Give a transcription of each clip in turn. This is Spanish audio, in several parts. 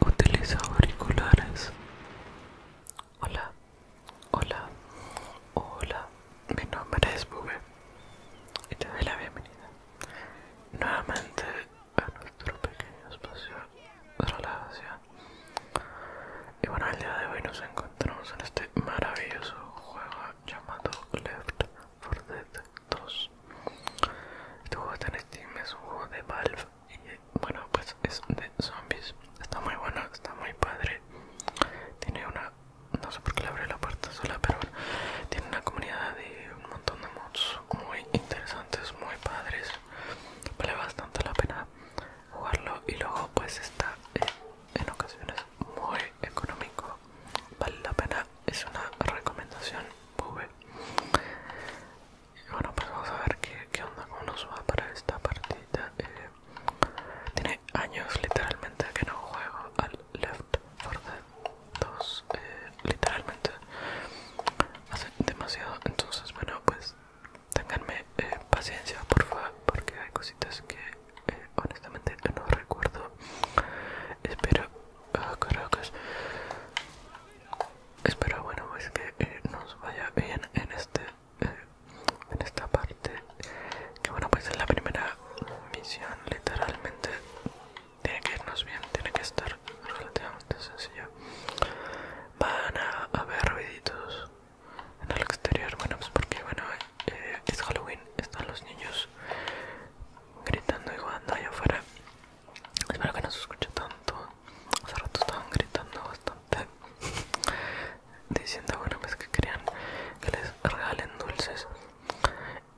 Utiliza auriculares. Hola, hola, hola. Mi nombre es Bube y te doy la bienvenida nuevamente a nuestro pequeño espacio de relajación. Y bueno, el día de hoy nos encontramos en este maravilloso juego llamado Left 4 Dead 2. Este juego está en es un juego de Valve y bueno pues es de zombies está muy bueno está muy padre tiene una no sé por qué le la puerta sola pero tiene una comunidad de un montón de mods muy interesantes muy padres vale bastante la pena jugarlo y luego pues está eh, en ocasiones muy económico vale la pena es una recomendación muy bueno pues vamos a ver qué, onda cómo nos va para esta partida eh, tiene años literalmente que no juego al Left 4 Dead 2 eh, literalmente hace demasiado entonces bueno pues tenganme eh, paciencia por favor porque hay cositas que honestamente no recuerdo espero que ah, caracas espero bueno pues que eh, nos vaya bien en este eh, en esta parte que bueno pues es la primera misión literalmente tiene que irnos bien tiene que estar relativamente sencillo van a haber ruiditos en el exterior bueno pues porque bueno eh, es Halloween están los niños gritando y jugando allá afuera Espero que no se escuche tanto. Hace rato estaban gritando bastante. Diciendo alguna vez pues que querían que les regalen dulces.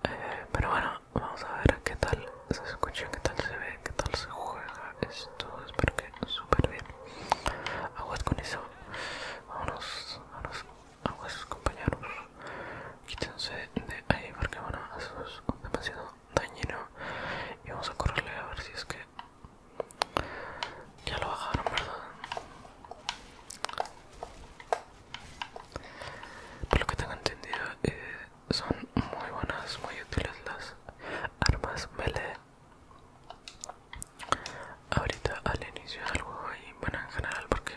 Eh, pero bueno, vamos a ver qué tal se escucha, qué tal se ve, qué tal se juega esto. Espero que súper bien. Aguas con eso. vamos vámonos. Aguas compañeros. Quítense de ahí porque bueno, eso es demasiado dañino y vamos a correrle a ver si es que ya lo bajaron verdad por lo que tengo entendido eh, son muy buenas muy útiles las armas melee ahorita al inicio del juego y bueno en general porque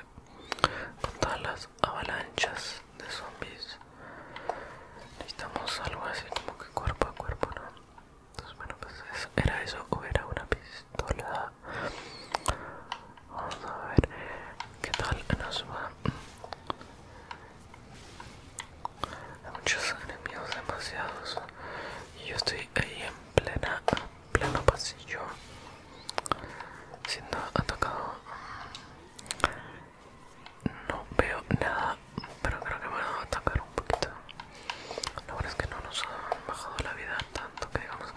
con todas las avalanchas de zombies necesitamos algo así como que cuerpo a cuerpo no entonces bueno pues era eso o era una pistola vamos a ver qué tal nos va hay muchos enemigos demasiados y yo estoy ahí en plena pleno pasillo siendo atacado no veo nada, pero creo que me van a atacar un poquito. La verdad es que no nos han bajado la vida tanto que digamos,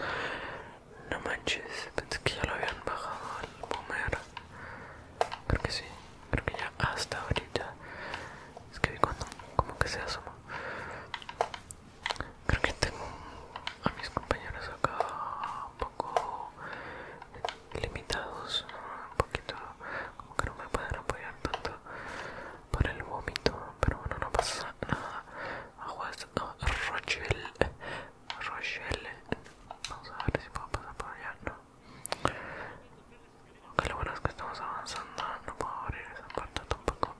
no manches, pensé que ya lo habían bajado al boomer. Creo que sí, creo que ya hasta ahorita. Es que vi cuando como que se asoma. Creo que tengo a mis compañeros acá un poco limitados, un poquito como que no me pueden apoyar tanto por el vómito, pero bueno, no pasa nada. Aguas, oh, Rochelle, Rochelle, vamos a ver si puedo pasar por allá, no. lo bueno es que estamos avanzando, no puedo abrir esa puerta tampoco.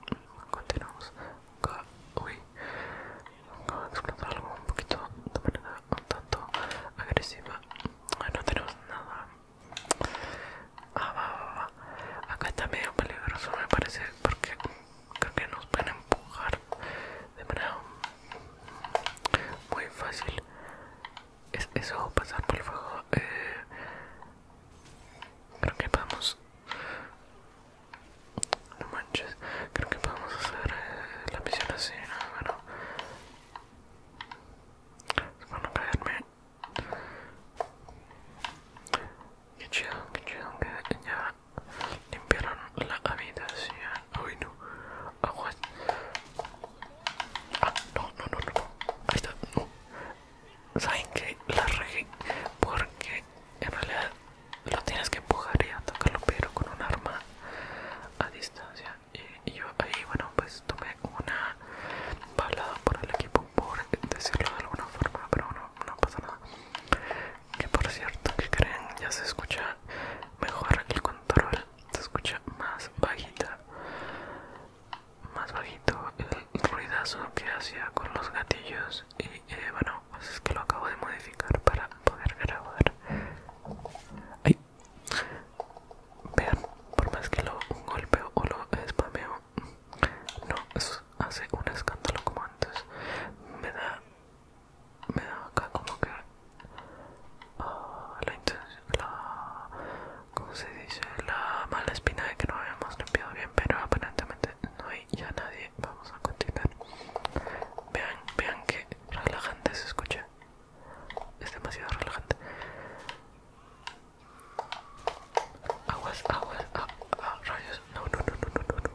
Continuamos uy, explotar un poquito de manera un tanto agresiva. Ah, no tenemos nada. Ah, va, va, va. Acá está medio peligroso, me parece, porque creo que nos pueden empujar de manera muy fácil. Es eso, pasar por el fuego. Eh, creo que podemos. No manches, creo que podemos hacer eh, la misión así. ¿no? Se Qué chido, que chido que ya limpiaron la habitación. Uy, no. agua, Ah, no, no, no, no. Ahí está, no. ¿Saben que La regué porque en realidad lo tienes que empujar y atacarlo, pero con un arma a distancia y, yo ahí bueno pues tomé una balada por el equipo por decirlo de alguna forma pero no, no pasa nada que por cierto que creen ya se escucha mejor aquí el control se escucha más bajita más bajito el ruidazo que hacía con los gatillos y eh, bueno pues es que lo acabo de modificar para poder grabar ay Vean, por más que lo golpeo o lo spameo, no hace un escándalo como antes. Me da, me da acá como que ah, la intención, la, ¿cómo se dice? La mala espina de que no habíamos limpiado bien, pero aparentemente no hay ya nadie. Vamos a continuar. Vean, vean que relajante se escucha. Es demasiado relajante. Aguas, aguas, rayos. No, no, no, no, no, no.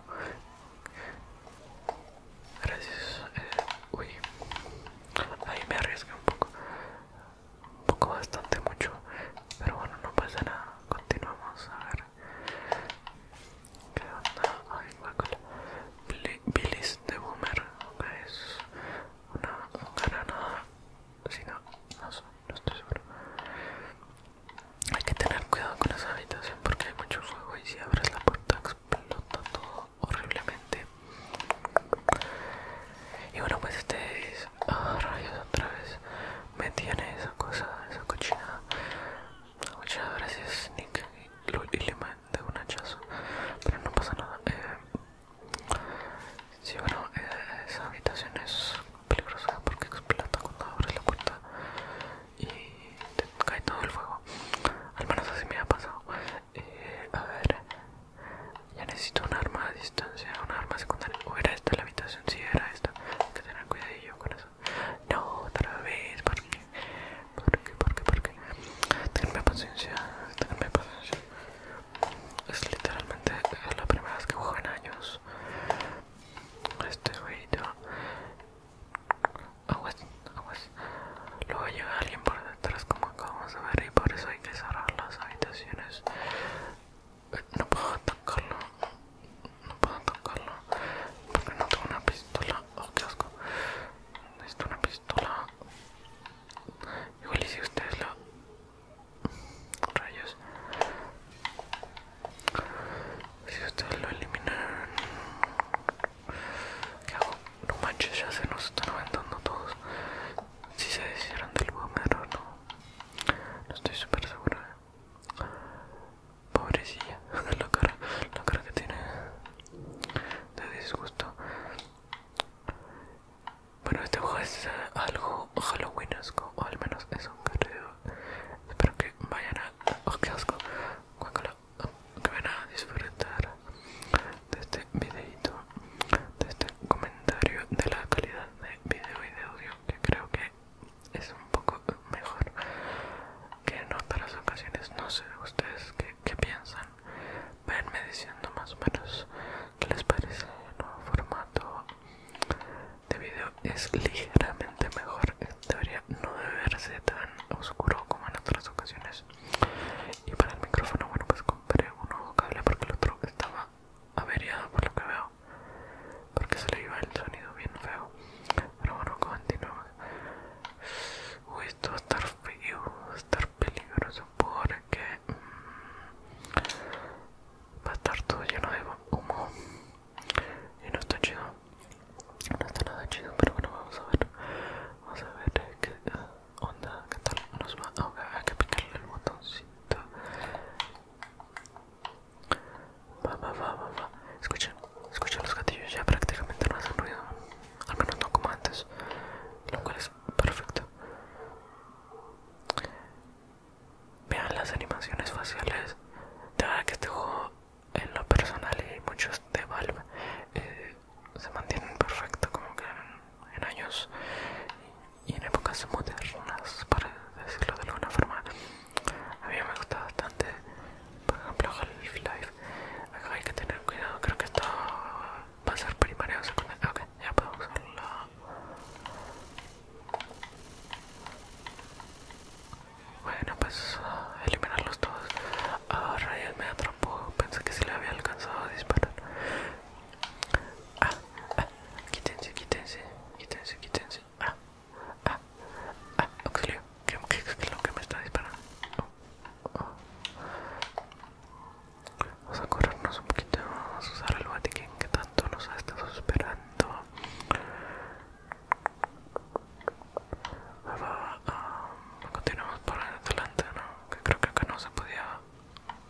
Gracias. Eh, uy. Ahí me arriesgué un poco. Un poco bastante mucho. Pero bueno, no pasa nada. Continuamos. A ver. ¿Qué onda? Ay, guacala bilis de boomer es una granada si no, no, estoy seguro hay que tener cuidado con esa habitación porque hay mucho fuego y si abres la puerta explota todo horriblemente y bueno pues este es ah, rayos otra vez me tiene esa cosa esa cochinada Muchas gracias Nick y, lo de un hachazo pero no pasa nada eh, bueno eh, esa habitación es peligrosa porque explota cuando abres la puerta y te cae todo el fuego al menos así me ha pasado eh, a ver ya necesito un arma a distancia un arma secundaria o era esta la habitación si era esta hay que tener cuidadillo con eso no otra vez porque, porque, porque. Tenme paciencia, tenme paciencia. Es literalmente la primera vez que juego en años. Este jueguito. Aguas, aguas. Luego llega alguien por detrás, como acabamos de ver, y por eso hay que cerrar las habitaciones. No puedo atacarlo no puedo atacarlo porque no tengo una pistola. Oh, qué Necesito una pistola. Igual y si ustedes lo... Rayos. Si ustedes lo eliminan... ¿Qué hago? No manches, ya se nos están aventando todos. Si se deshicieron del bombero, no. No estoy súper segura. ¿eh? Pobrecilla, la cara, la cara que tiene de disgusto. Bueno, este juego es eh, algo halloweenesco, o al menos es un creo. Espero que vayan a. ¡Oh, qué asco! Que van a disfrutar de este videito, de este comentario, de la calidad de video y de audio, que creo que es un poco mejor que en otras ocasiones. No sé ustedes qué piensan, Venme diciendo más o menos que les parece el nuevo formato de video es ligeramente mejor debería no debe verse tan oscuro como en otras ocasiones y para el micrófono bueno pues compré un nuevo cable porque el otro estaba averiado por lo que veo porque se le iba el sonido bien feo pero bueno continuamos uy esto va a peligroso porque mmm, va a estar todo lleno de humo y no está chido no está nada chido pero bueno vamos a ver vamos a ver qué eh, onda qué tal nos va a ah, hay que picarle el botoncito va va va va va escuchen escuchen los gatillos ya prácticamente no hacen ruido al menos no como antes, lo cual es perfecto. Vean las animaciones faciales. De verdad que este juego, en lo personal y muchos de Valve, eh, se mantienen perfecto como que en, años y en épocas modernas, para decirlo de alguna forma. A mí me gusta bastante, por ejemplo, Half-Life Acá hay que tener cuidado, creo que esto va a ser primaria o secundaria. Ok, ya puedo usarlo. Bueno, pues eliminarlos todos. Ah, ya me atrapó. Pensé que sí le había alcanzado a disparar. Ah, ah quítense, quítense, quítense, quítense. Ah, ah, ah, auxilio. ¿Qué, es lo que me está disparando? Oh, oh. Vamos a corrernos un poquito, vamos a usar el Vatikin que tanto nos ha estado esperando. Um, continuamos por adelante, ¿no? Que creo que acá no se podía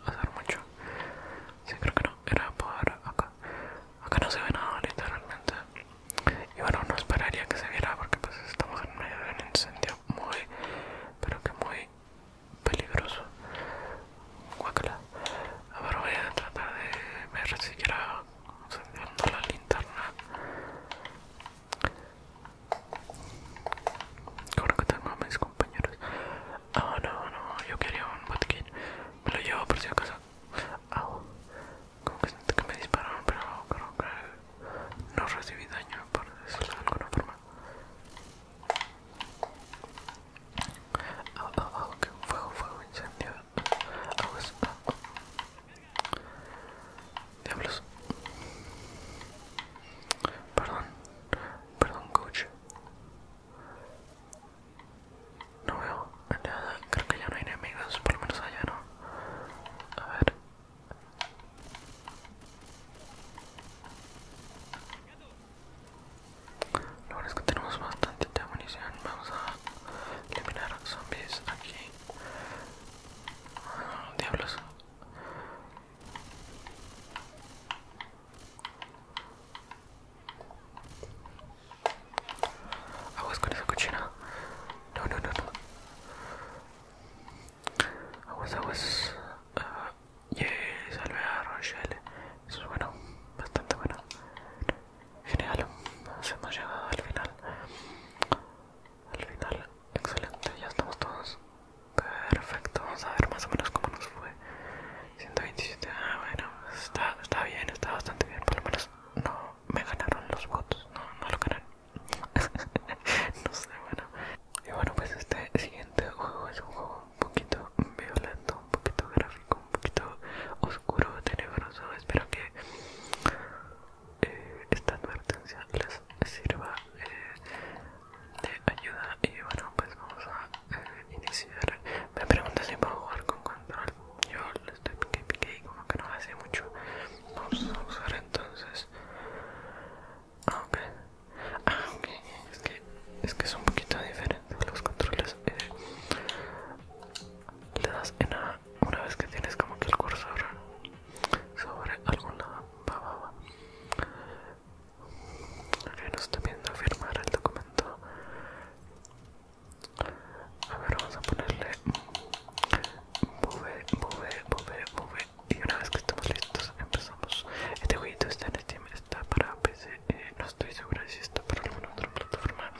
hacer mucho. Sí, creo que no, era por acá. Acá no se ve nada literalmente. Y bueno, no esperaría que se viera porque pues estamos en medio de un incendio muy pero que muy peligroso Guacala. ahora voy a tratar de me si a la linterna creo que tengo a mis compañeros ah no no yo quería un botiquín me lo llevo por si acaso ah como que siento que me dispararon pero creo que no recibí daño, por decirlo de alguna forma. Ah, fuego, fuego, incendio. Diablos. Perdón. Perdón, coach. No veo Creo que ya no hay enemigos, por lo menos allá no. A ver. Lo bueno es que tenemos bastante munición. Vamos a eliminar zombies aquí. Ah, diablos. Aguas con esa cochina. No, no, no, no. Aguas, aguas. Ah, yeah, salve a Rochelle. Eso es bueno, bastante bueno. Genial, nos hemos llegado al final. Al final, excelente, ya estamos todos. Perfecto, vamos a ver más o menos cómo nos fue. 127, ah, bueno, está, bien, está bastante bien. Por lo menos no me ganaron los votos, no, no lo ganaron. no sé, bueno. Y bueno, pues este siguiente juego es un juego un poquito violento, un poquito gráfico, un poquito oscuro, tenebroso. Espero que eh, esta advertencia les sirva eh, de ayuda. Y bueno, pues vamos a eh, iniciar. Me pregunta si puedo jugar con control. Yo le estoy pique pique y como que no hace mucho. Vamos a usar entonces Ah, ok. Ah, es que, es un poquito diferente los controles. Eh, le das en A una vez que tienes como que el cursor sobre algún lado. Va, Ok, nos está pidiendo firmar el documento. A ver, vamos a ponerle. Bube, bube, bube, bube, y una vez que estamos listos, empezamos. Este jueguito está en Steam, está para PC. Eh, no estoy segura si está para alguna otra plataforma.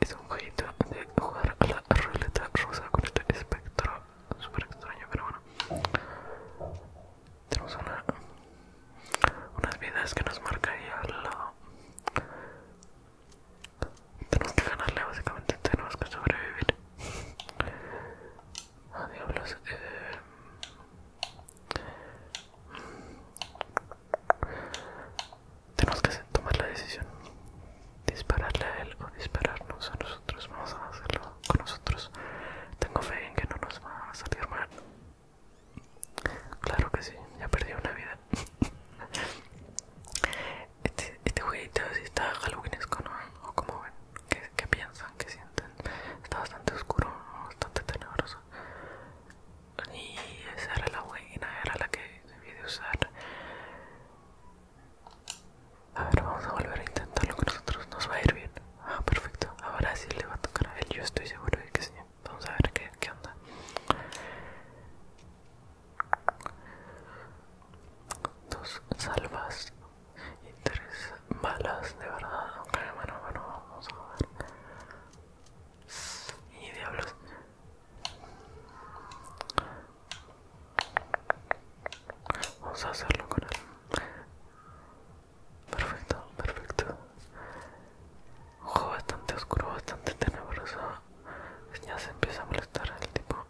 Es un jueguito de jugar a la ruleta rusa con este espectro. Súper extraño, pero bueno. Tenemos una, unas vidas que nos marca ahí al lado. Tenemos que ganarle, básicamente. Tenemos que sobrevivir. A ah, eh. Tenemos que tomar la decisión. Dispararle a él o dispararnos a nosotros. Vamos a hacerlo con nosotros. Tengo fe en que no nos va a salir mal. Claro que sí, ya perdí una vida. Este, este jueguito si está halloweenesco, ¿no? O como ven, ¿Qué, piensan? que sienten? Está bastante oscuro, bastante tenebroso. Y esa era la buena, era la que debí de usar. A ver, vamos a volver a intentarlo con nosotros. Nos va a ir bien. Ah, perfecto. Ahora sí le va a tocar a él. Yo estoy seguro de que sí. Vamos a ver qué, qué onda. Dos salvas y tres balas de verdad aunque bueno bueno vamos a ver y diablos vamos a hacerlo con él perfecto perfecto ojo bastante oscuro bastante tenebroso ya se empieza a molestar el tipo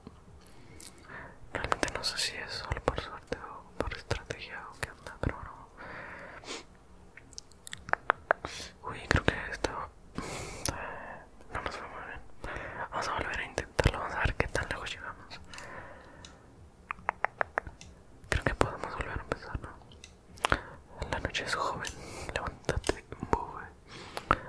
Realmente no sé si es solo por suerte o por estrategia o qué onda, pero bueno. Uy, creo que esto eh, no nos fue muy bien. Vamos a volver a intentarlo, vamos a ver qué tan lejos llegamos. Creo que podemos volver a empezar, ¿no? La noche es joven, levántate, mueve.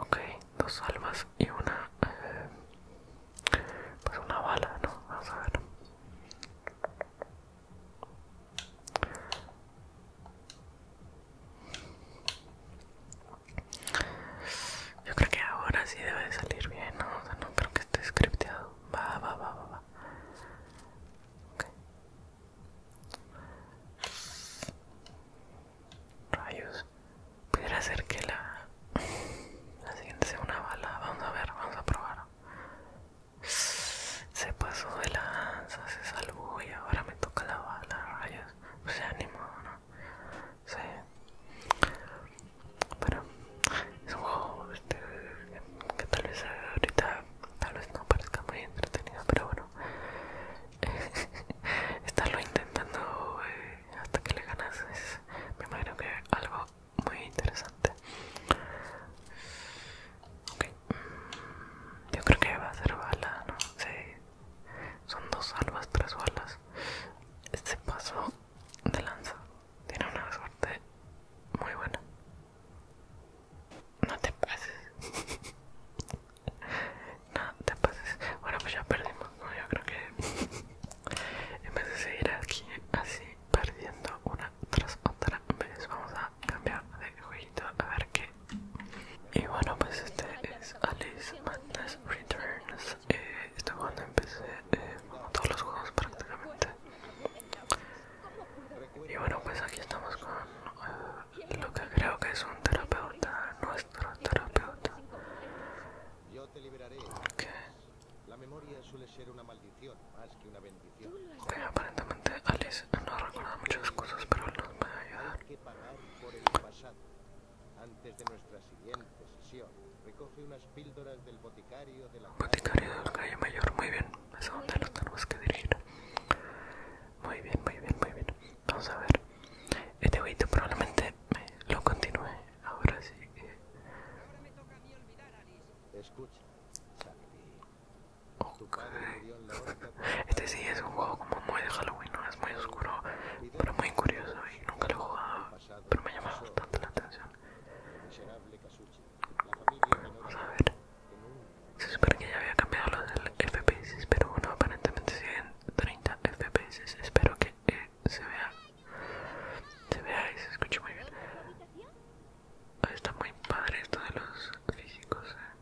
ok dos almas y una eh, pues una bala no vamos a ver yo creo que ahora sí debe salir bien no o sea no creo que esté scripteado va va va va va Rayos pudiera ser que la, la siguiente sea una bala. Vamos a ver, vamos a probar. Se pasó de lanza, se salvó y ahora me toca la bala, rayos. o se ánimo, ¿no? Sí. pero es un juego este, que tal vez ahorita tal vez no parezca muy entretenido, pero bueno, estarlo intentando eh, hasta que le ganas es, me imagino que algo muy interesante okay. yo creo que va a ser bala no sé sí. son dos salvas tres balas este paso de lanza tiene una suerte muy buena no te pases No, te pases. Bueno, pues ya perdimos, ¿no? Yo creo que en vez de seguir aquí así perdiendo una tras otra vamos a cambiar de jueguito a ver qué. Y bueno, pues este es Alice Madness Returns. este esto cuando empecé, eh, todos los juegos prácticamente. Y bueno, pues aquí estamos con eh, lo que creo que es un terapeuta, nuestro terapeuta. Yo te liberaré. La memoria suele ser una maldición más que una bendición. aparentemente Alice no recuerda muchas cosas, pero nos va a ayudar. Hay pagar por el pasado. Antes de nuestra siguiente sesión, recoge unas píldoras del boticario de la calle. calle mayor, muy bien. Es a donde lo tenemos que dirigir. Muy bien, muy bien, muy bien. Vamos a ver. Este huevito probablemente lo continúe. Ahora sí Ahora Este sí es un juego como muy de Halloween, ¿no? es muy oscuro, pero muy curioso y nunca lo he jugado, pero me llama bastante la atención. Vamos a ver. Se supone que ya había cambiado los del FPS, pero bueno, aparentemente siguen 30 fps espero que eh, se vea se vea y se escuche muy bien está muy padre esto de los físicos eh.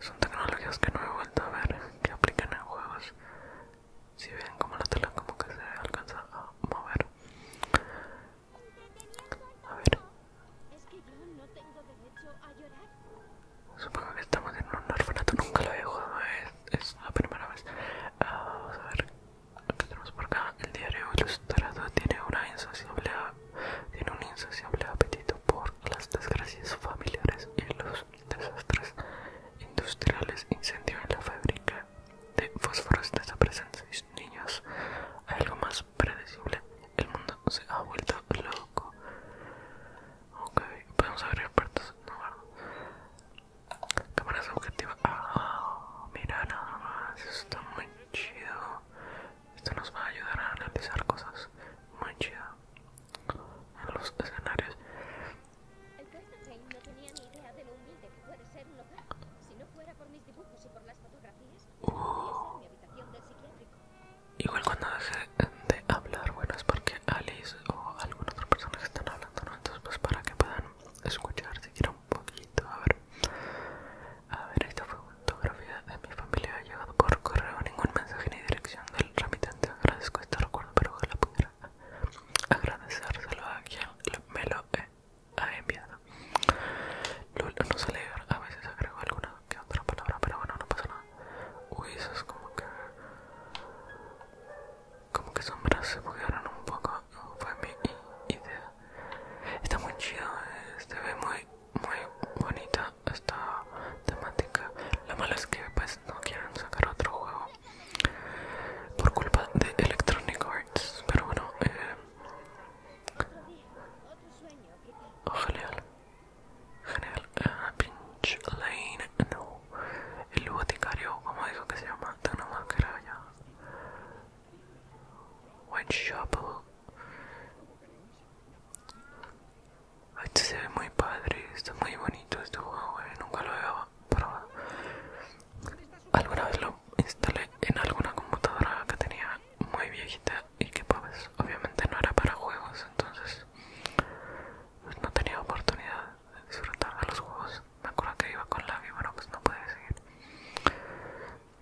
son tecnologías que no he vuelto a ver que aplican en juegos si ven como la tela como que se alcanza a mover a ver Supongo que estamos en un orfanato, nunca lo he jugado, es, la primera vez. Ah, a ver, qué tenemos por acá el diario ilustrado. Tiene, una insociable, tiene un insaciable apetito por las desgracias familiares y los desastres industriales. Incendio en la fábrica de fósforos desaparecen seis niños. Algo más predecible, el mundo se ha vuelto loco. Ok, podemos abrir puertas. No, bueno. Cámara subjetiva. Ah, mira nada más. esto está muy chido. Esto nos va a ayudar a analizar cosas muy chido en los escenarios. El Clemenheim no tenía ni idea de lo humilde que puede ser un local. Si no fuera por mis dibujos y por las fotografías, podría ser mi habitación del psiquiátrico. Igual cuando deje de hablar, bueno, es porque Alice o alguna otra persona que están hablando, ¿no? Entonces, pues para que puedan escuchar siquiera un poquito. A ver, a ver, esta fue una fotografía de mi familia. Ha llegado por correo, ningún mensaje ni dirección del remitente. Agradezco este recuerdo, pero ojalá pudiera agradecérselo a quien me lo ha enviado. Lul no alegra, a veces agrego alguna que otra palabra, pero bueno, no pasa nada. Uy, eso es como que. Como que sombras se buguearon un poco. fue mi idea. Está muy chido, Este, ve muy, muy bonita esta temática. la malo es que, pues, no quieren sacar otro juego por culpa de Electronic Arts. Pero bueno, eh. General ah, Pinch Lane, no. El boticario, como dijo que se llama, de una máscara White Whitechapel. Esto se ve muy padre, está muy bonito este juego, eh, nunca lo había probado. Alguna vez lo instalé en alguna computadora que tenía muy viejita y que pues obviamente no era para juegos, entonces pues no tenía oportunidad de disfrutar a los juegos. Me acuerdo que iba con Lavi, bueno, pues no podía seguir.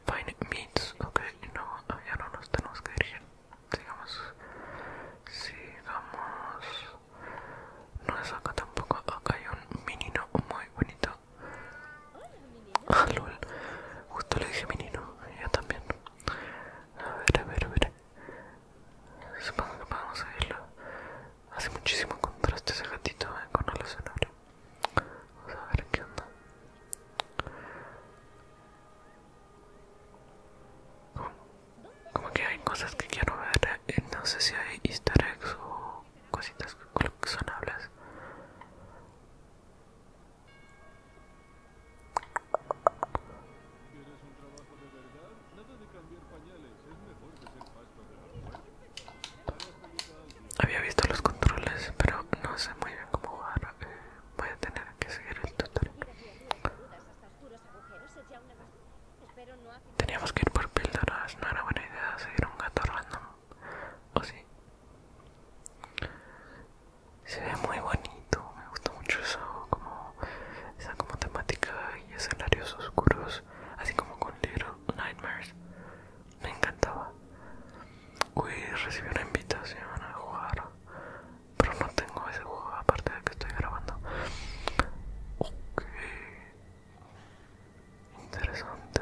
Fine Meats, ok, no, ya no nos tenemos que dirigir. Sigamos, sigamos. No es acá tampoco, acá hay un menino muy bonito. Ah, justo le dije menino, yo también. A ver, a ver, a ver. Supongo que podemos seguirlo. Hace muchísimo contraste ese gatito eh, con el escenario. Vamos a ver qué onda. Como, que hay cosas que quiero ver. Eh, no sé si hay easter eggs o cositas coleccionables. Había visto los controles, pero no sé muy bien cómo jugar. Eh, voy a tener que seguir el tutorial. Teníamos que ir por píldoras, no era buena idea seguir un gato random. ¿O sí? se ve muy bonito me gusta mucho eso como esa como temática y escenarios oscuros así como con Little Nightmares me encantaba uy recibí una invitación a jugar pero no tengo ese juego aparte de que estoy grabando ok interesante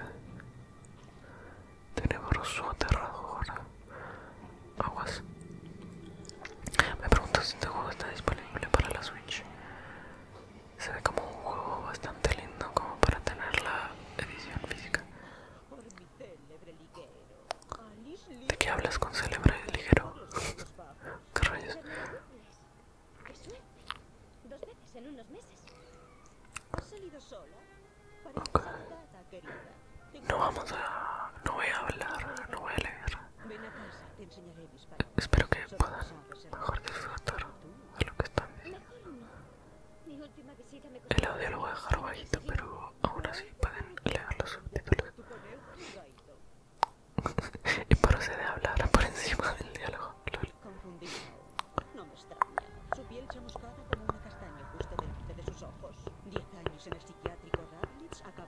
su aterradora Aguas. Me pregunto si este juego está disponible para la Switch. Se ve como un juego bastante lindo como para tener la edición física. ¿De qué hablas con célebre ligero? ¿Qué rayos? No vamos a... no voy a hablar, no voy a leer. Espero que puedan mejor disfrutar de lo que están diciendo. El audio lo voy a dejar bajito, pero aún así pueden leer los subtítulos. y procede a hablar por encima del diálogo. No me extraña. Su piel chamuscada como una castaña justo delante de sus ojos. Diez años en el psiquiátrico Radlitz acabó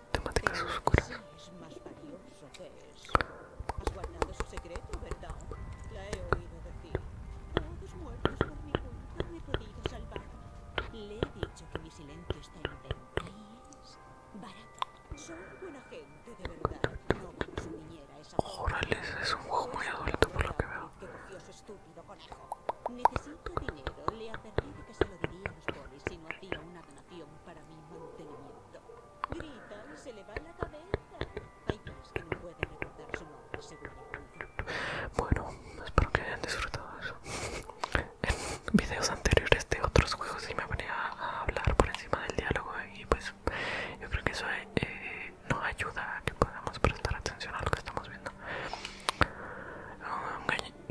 Te matarás a sus cosas. Es más valioso que eso. ¿Estás guardando su secreto, verdad? La he oído decir. Todos muertos por mi culpa. No he podido salvar? Le he dicho que mi silencio está en el. ¿Y es? Barato. Son buena gente, de verdad. No quiero su niñera esa. Jórales, es un juego muy adulto, por lo que veo. Dios, estúpido conejo. Necesito. Bueno, espero que hayan disfrutado eso. En videos anteriores de otros juegos sí me venía a hablar por encima del diálogo y pues yo creo que eso eh, No ayuda a que podamos prestar atención a lo que estamos viendo. Ah,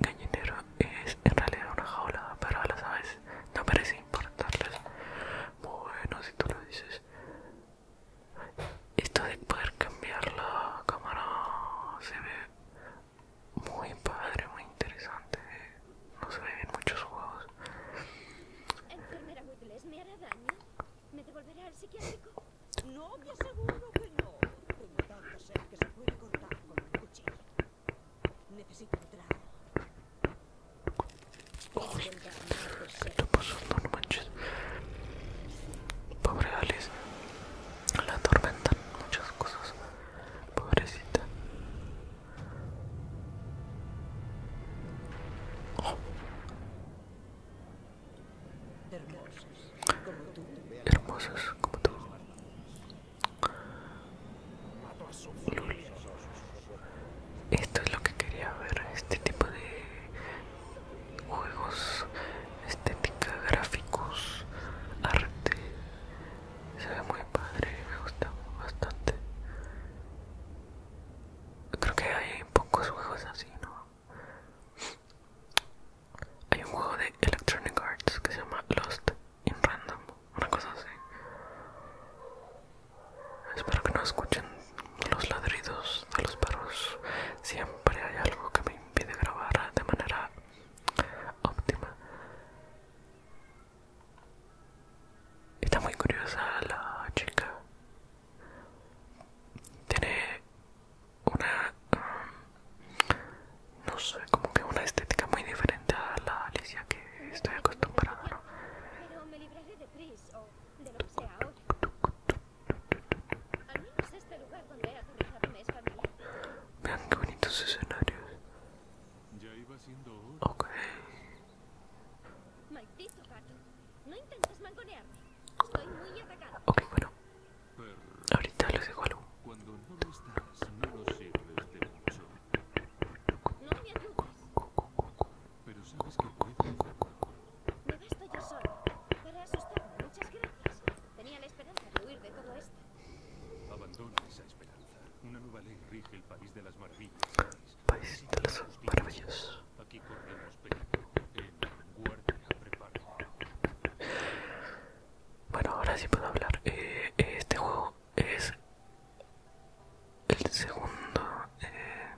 gallinero es en realidad una jaula para las aves, no parece importarles. Bueno, si tú lo dices, esto de poder cambiar la cámara se ve muy padre, muy interesante. No se ve en muchos juegos. ¿enfermera ¿Me hará daño? ¿Me devolverá al psiquiátrico? No, te aseguro que no. Tengo tanta sed que se puede cortar con un cuchillo. Necesito entrar. ¿qué está pasando? No manches. Pobre Alice. La tormenta muchas cosas. Pobrecita. Hermosas Hermosos como tú. Hermosos como tú. Esto es lo que quería ver, este tipo de juegos, estética, gráficos, arte. Se ve muy padre, me gusta bastante. Creo que hay pocos juegos así, ¿no? Hay un juego de Electronic Arts que se llama Lost in Random, una cosa así. Espero que no escuchen los ladridos de los perros. Siempre hay algo que me impide grabar de manera óptima. Está muy curiosa la chica. Tiene una um, no sé, como que una estética muy diferente a la Alicia que estoy acostumbrada, este Vean qué bonitos escenarios. Ok. Ok, bueno, Ahorita lo dejo algo. Cuando no lo estás, no nos sirves de mucho. Pero sabes que No Me basto yo solo. Para asustarme, muchas gracias. Tenía la esperanza de huir de todo esto. Abandona esa esperanza. Una nueva ley rige el país de las maravillas. País de las maravillas. Aquí corremos peligro. y guardia preparo. Bueno, ahora sí puedo hablar. Eh, eh, este juego es el segundo eh,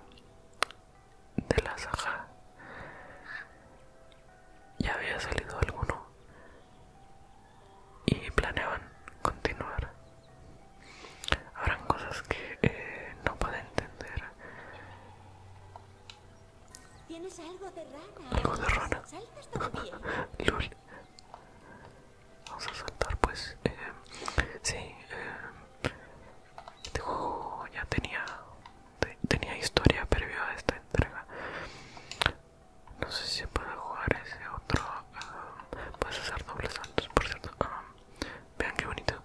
de la saga. Ya había salido alguno y planeaban continuar. Habrán cosas que no puedo entender. algo de rana? Algo de vamos a saltar pues eh, sí este eh, juego ya tenía tenía historia previo a esta entrega no sé si se puede jugar ese otro eh, puedes hacer dobles saltos por cierto ah, vean qué bonito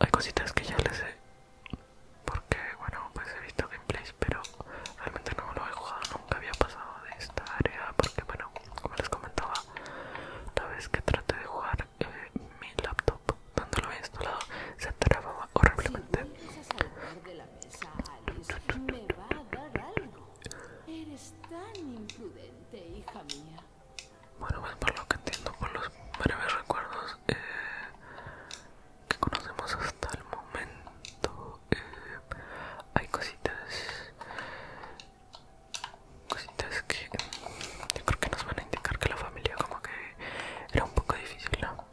hay cositas que ya les he porque bueno pues he visto gameplays pero realmente no lo he jugado nunca había pasado de esta área porque bueno como les comentaba la vez que traté de jugar eh, mi laptop cuando lo había instalado se trababa horriblemente bueno pues por lo que entiendo por los breves recuerdos eh, que conocemos hasta el momento eh, hay cositas cositas que creo que nos van a indicar que la familia como que era un poco difícil ¿no?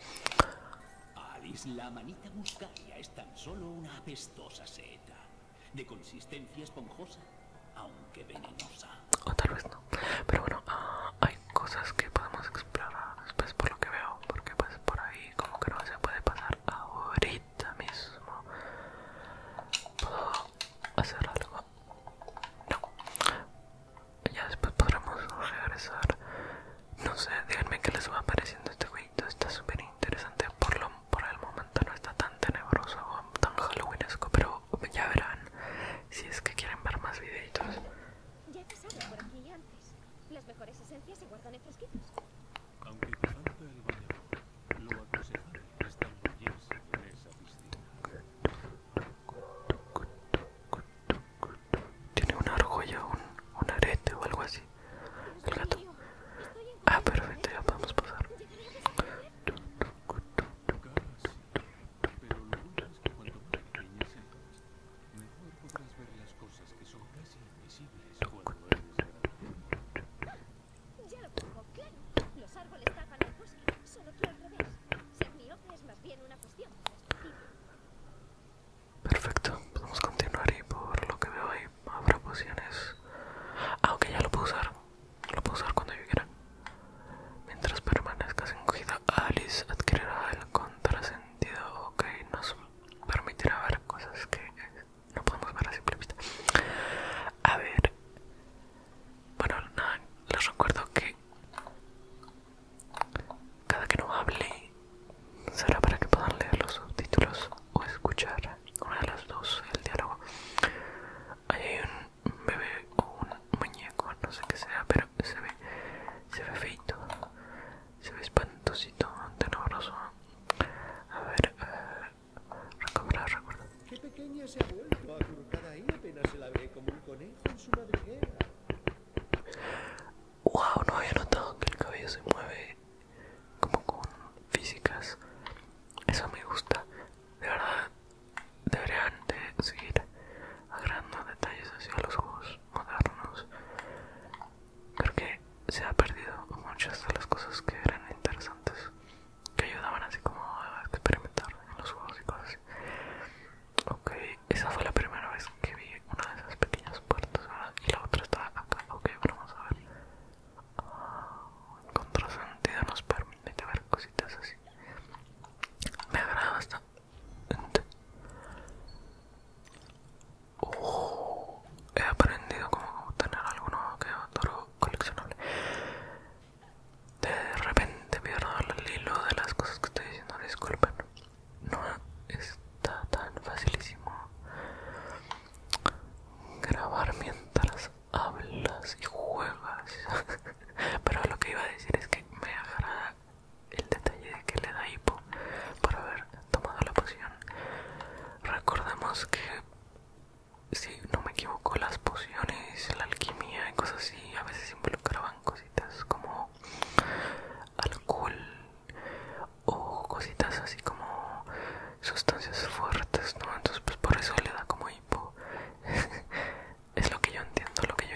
la manita muscaria es tan solo una apestosa seta de consistencia esponjosa aunque venenosa o tal vez no pero bueno ah, hay cosas que podemos explorar después por lo que veo porque pues por ahí como que no se puede pasar ahorita mismo puedo hacer algo no ya después podremos regresar no sé díganme que les va apareciendo este jueguito está súper interesante por lo por el momento no está tan tenebroso o tan halloweenesco pero ya verán si es que quieren ver más videitos ya por aquí antes las mejores esencias se guardan en fresquitos. Aunque dejando el baño, lo aconsejable es tamballarse en esa piscina. Tiene una argolla, un, arete o algo así. El gato. ¿eh? Ah, perfecto, ¿eh? ya podemos pasar. ¿eh? pero lo bueno es que cuanto más pequeña sea, Perfecto, podemos continuar y por lo que veo ahí habrá pociones. Aunque ya lo puedo usar. Lo puedo usar cuando yo Mientras permanezcas encogida, Alice adquirirá el contrasentido que nos permitirá ver cosas que eh, no podemos ver a simple vista. A ver, bueno, nada, les recuerdo que cada que no hable será para que puedan leer los subtítulos o escuchar una de las dos el diálogo. Ahí hay un bebé o un muñeco, no sé qué sea, pero se ve, se ve feito se ve espantosito tenebroso a ver eh, recobrar wow no había notado que el cabello se mueve como con físicas eso me gusta de verdad deberían de seguir agarrando detalles hacia los juegos modernos porque se ha perdido muchas de las cosas que eran interesantes que ayudaban así como a experimentar en los juegos y cosas así ok esa fue la primera vez que vi una de esas pequeñas puertas y la otra estaba acá ok vamos a ver uh, ah, el nos permite ver cositas así me agrada bastante he aprendido como tener algunos que otro coleccionable de repente pierdo el hilo de las cosas que estoy diciendo disculpen no está tan facilísimo grabar mientras hablas y juegas pero lo que iba a decir es que me agrada el detalle de que le da hipo por haber tomado la poción. Recordemos que, si no me equivoco, las pociones, la alquimia y cosas así a veces involucraban cositas como alcohol o cositas así como sustancias fuertes, ¿no? Entonces, pues por eso le da como hipo. es lo que yo entiendo, lo que yo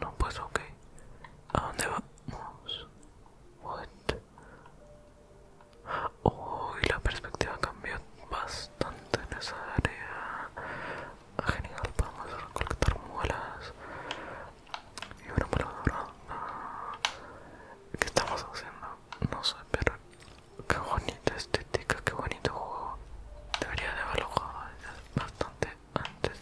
No, pues ok. ¿A dónde vamos? What? Uy, la perspectiva cambió bastante en esa área. Ah, genial, a recolectar mulas Y una muela dorado ah, ¿Qué estamos haciendo? No sé, pero qué bonita estética, qué bonito juego. Debería de haberlo jugado bastante antes.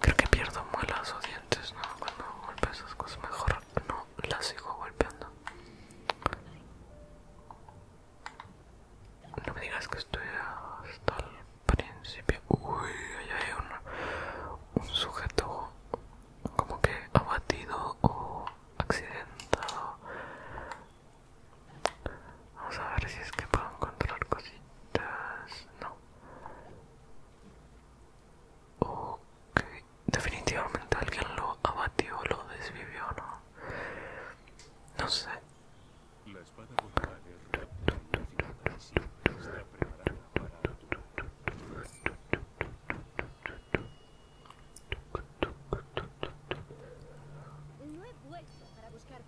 Creo que pierdo muelas o dientes, ¿no? Cuando golpeo esas cosas, mejor no las sigo golpeando. No me digas que estoy hasta el principio. Uy, hay un, un sujeto como que abatido o accidentado. Vamos a ver si es que puedo encontrar cositas. No, Ok, definitivamente alguien lo abatió, lo desvivió, ¿no? No sé.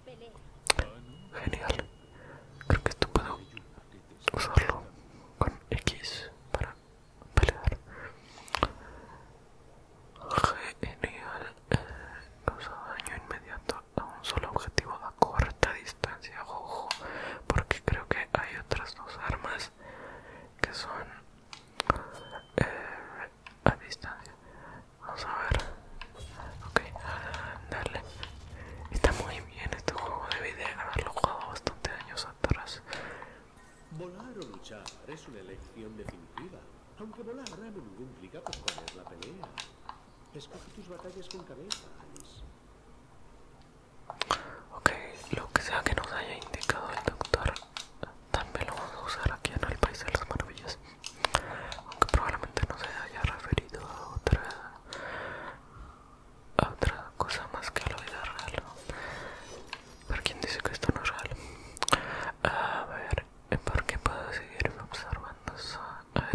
Genial. Creo que esto puedo usarlo con X para pelear. Genial. Eh, causa daño inmediato a un solo objetivo a corta distancia. Ojo, porque creo que hay otras dos armas que son eh, a distancia. Vamos a ver. Ok, darle. Está muy bien este juego, debí de haberlo jugado bastante años atrás. Volar o luchar es una elección definitiva. Aunque volar implica la pelea. Escoge tus batallas con cabeza, Okay, Ok, lo que sea que nos haya indicado el doctor, también lo vamos a usar aquí en el País de las Maravillas. Aunque probablemente no se haya referido a otra otra cosa más que lo la vida real. ¿Para quien dice que esto no es real? A ver, ¿por qué puedo seguirme observando?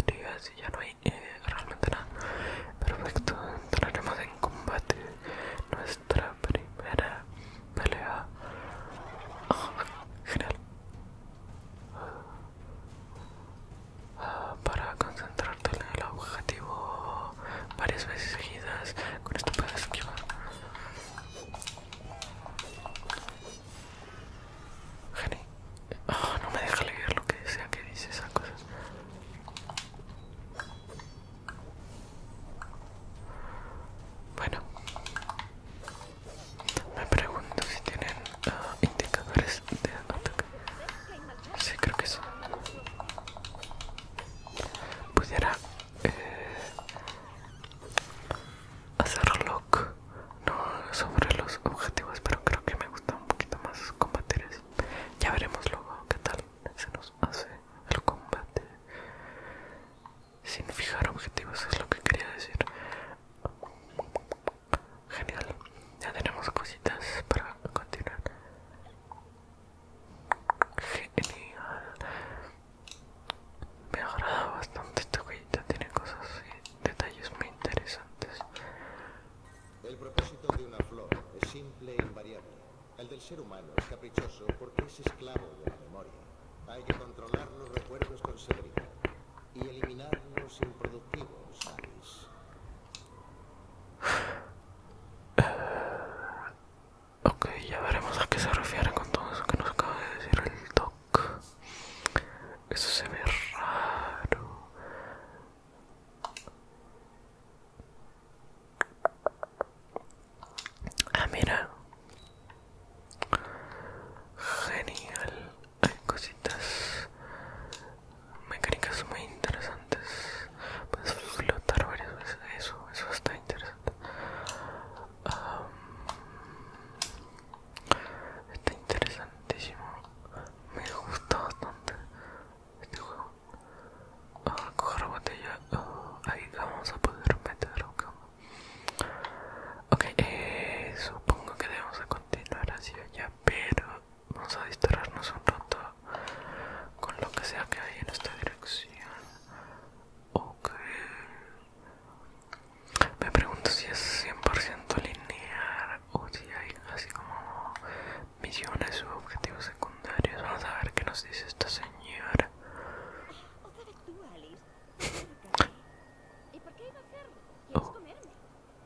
ver si ya no hay eh, realmente nada. Perfecto, entraremos en combate. Nuestra primera pelea. Ah, genial para concentrarte en el objetivo varias veces seguidas. Con esto puedes esquivar. Geni, oh, no me deja leer lo que sea que dice esa cosa Bueno, me pregunto si tienen ah, indicadores de ataque. Sí, creo que eso. Pudiera eh, hacer lock no sobre los objetivos, pero creo que me gusta un poquito más combateres Ya veremos luego qué tal se nos hace el combate. Sin fijar objetivos es lo que quería decir. Genial, ya tenemos cositas para continuar. Genial. Me agrada bastante esta huellita, tiene cosas y detalles muy interesantes. El propósito de una flor es simple e invariable. El del ser humano es caprichoso porque es esclavo de la memoria. Hay que controlar los recuerdos con seguridad y eliminar los improductivos, Ok, ya veremos a qué se refiere con todo eso que nos acaba de decir el doc. Eso se ve raro. Ah, mira. Genial hay cositas mecánicas muy interesantes puedes flotar varias veces eso eso está interesante está interesantísimo me gusta bastante este juego ah, coger botella ah, ahí vamos a poder meter ok eh, supongo que debemos continuar hacia allá pero vamos a distraernos un rato con lo que sea que hay en esta dirección. Ok. Me pregunto si es 100% lineal o si hay así como misiones u objetivos secundarios. Vamos a ver qué nos dice esta señora. ¿Y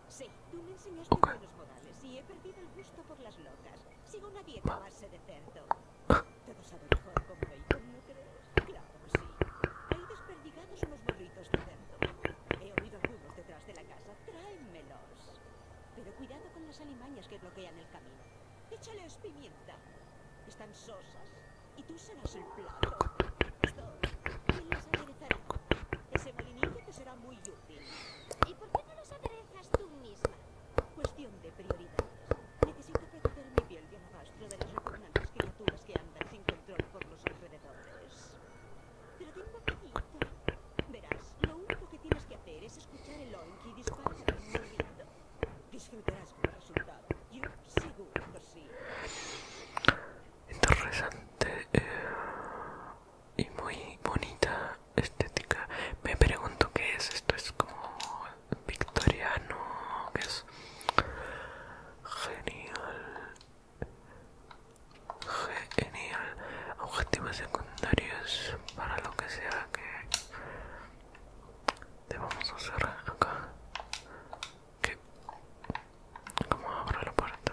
Sí, tú me enseñaste buenos modales y he perdido el gusto por las locas. Sigo una dieta de cerdo. Todo sabe mejor con bacon, ¿no crees? Claro que sí. Hay desperdigados unos burritos de cerdo. He oído algunos detrás de la casa. Tráemelos. Pero cuidado con las alimañas que bloquean el camino. Échales pimienta. Están sosas. Y tú serás el plato. Ese molinillo te será muy útil. ¿Y por qué no los aderezas tú misma? Cuestión de prioridades. Necesito proteger mi piel de alabastro de las repugnantes criaturas que andan sin control por los alrededores. Pero tengo ir. Verás, lo único que tienes que hacer es escuchar el oink y disparar mordiendo. Disfrutarás con el resultado. Yo seguro que sí interesante eh, y muy bonita estética. Me pregunto qué es esto, es como victoriano, que es genial. Genial. Objetivos secundarios para lo que sea que debamos hacer acá. ¿Qué? ¿Cómo abro la puerta?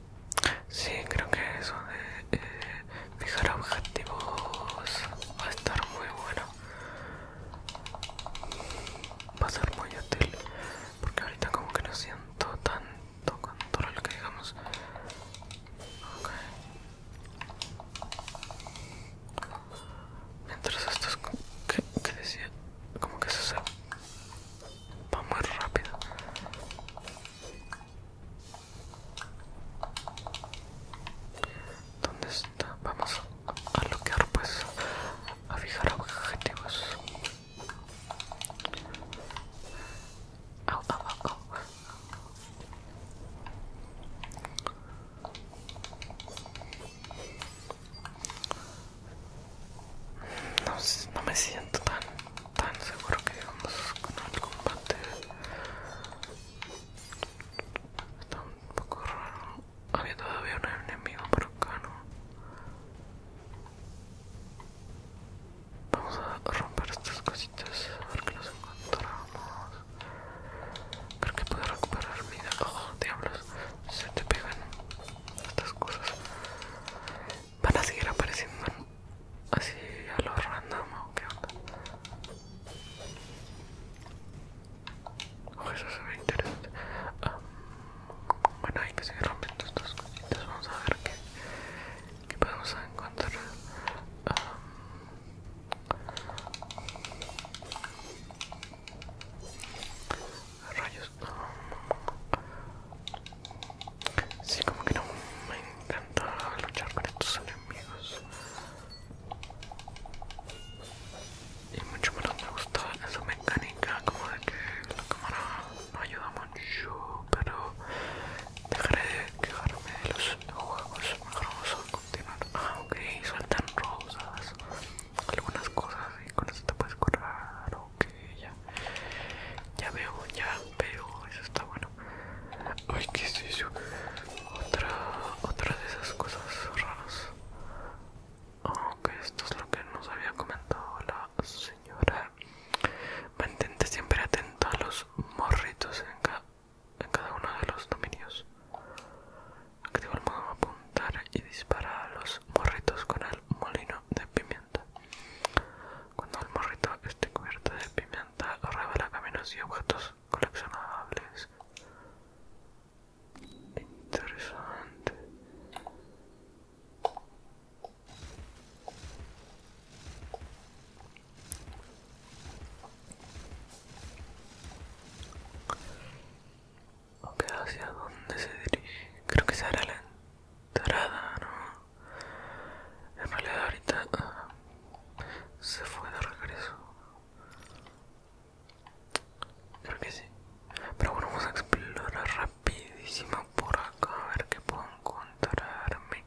Sí, creo que eso de eh, fijar objetivos va a estar muy bueno. Va a ser muy útil porque ahorita como que no siento tanto control que digamos. Mientras esto es que, decía, como que eso se va muy rápido. ¿Dónde está? Vamos a bloquear pues, a fijar objetivos. no me siento tan tan seguro que llegamos a el combate está un poco raro había todavía un enemigo por acá no vamos a romper estas cositas a ver que las encontramos creo que puedo recuperar vida oh diablos se te pegan estas cosas van a seguir apareciendo así a lo random o qué onda. Oh, eso se ve interesante. bueno, hay que seguir rompiendo estas cositas. Vamos a ver qué, podemos encontrar. Um, rayos. Sí, como que no me encanta luchar con estos enemigos. Y mucho menos me gusta esa mecánica como de que la cámara no ayuda mucho, pero dejaré de quejarme de los juegos. Mejor vamos a continuar. Ah, ok, sueltan rosas, algunas cosas y con eso te puedes curar que ya ya veo ya veo, eso está bueno ay qué es otra otra de esas cosas raras aunque esto es lo que nos había comentado la señora mantente siempre atento a los morritos en, en cada uno de los dominios activa el modo apuntar y dispara a los morritos con el molino de pimienta cuando el morrito esté cubierto de pimienta, revela caminos y objetos coleccionables. Interesante. Ok, ¿hacia dónde se dirige? Creo que será la entrada, ¿no? En realidad ahorita ah, se fue de regreso. Creo que sí. Pero bueno, vamos a explorar rapidísimo por acá a ver qué puedo encontrarme.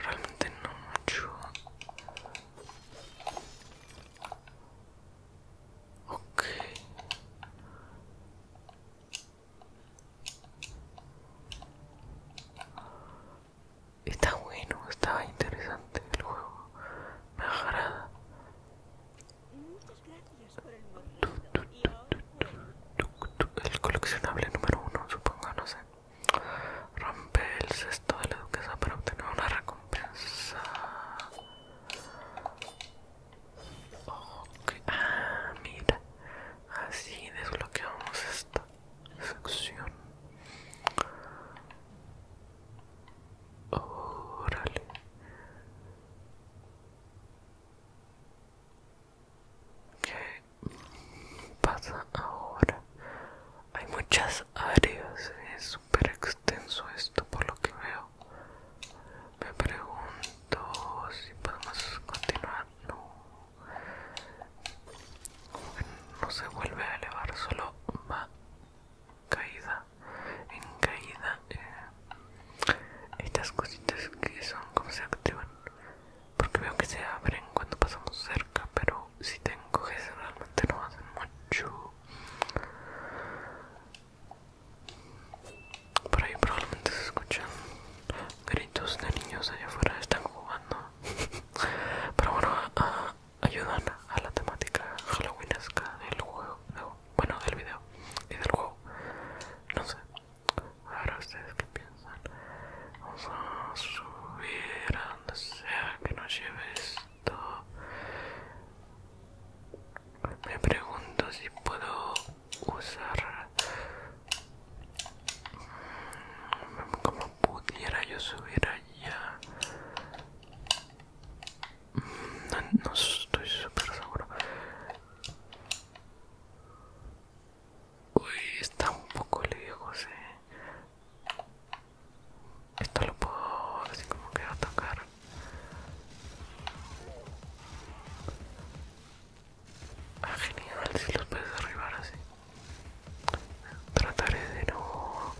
Realmente no mucho. Ok. Está bueno, está interesante el juego. Me agrada. el El coleccionable número uno, supongo, no sé. Rompe el cesto de la duquesa para obtener una recompensa. Ah, mira, así desbloqueamos esta sección. Órale. ¿Qué pasa ahora? Hay muchas áreas, es súper extenso esto por lo que veo. Me pregunto si podemos continuar no, no se vuelve a elevar, solo va caída en caída. Eh, estas cositas que son como se activan, porque veo que se abren cuando pasamos cerca, pero si te encoges realmente no hacen mucho. Por ahí probablemente se escuchan gritos de niños allá afuera, están jugando. Pero bueno, a, ah, ayudan a la temática halloweenesca del juego, bueno, del video y del juego. No sé, ahora ustedes qué piensan. Vamos a subir a donde sea que nos lleve esto. Me pregunto si puedo usar mm, como pudiera yo subir allá mm, no, estoy super seguro uy está un poco lejos eh. esto lo puedo así como que va a tocar Ah, genial, si los puedes arribar así. Trataré de no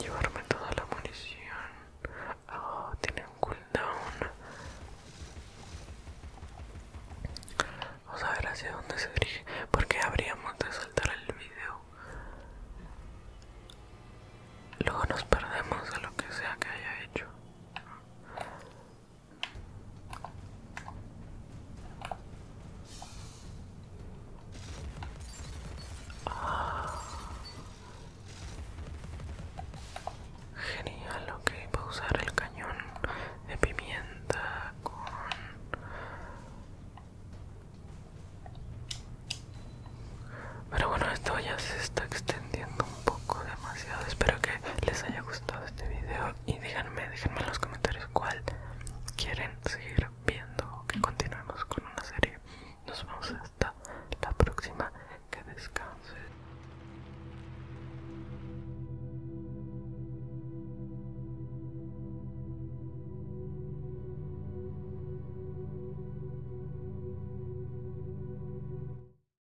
llevarme toda la munición. Oh, tiene un cooldown. Vamos a ver hacia dónde se dirige. Porque habríamos de saltar el video. Luego nos perdemos de lo que sea que haya hecho. Genial, ok, a usar el cañón de pimienta con... Pero bueno, esto ya se está extendiendo un poco demasiado espero que les haya gustado este video y díganme déjenme en los comentarios cuál quieren seguir viendo o que continuemos con una serie nos vemos hasta la próxima que descanse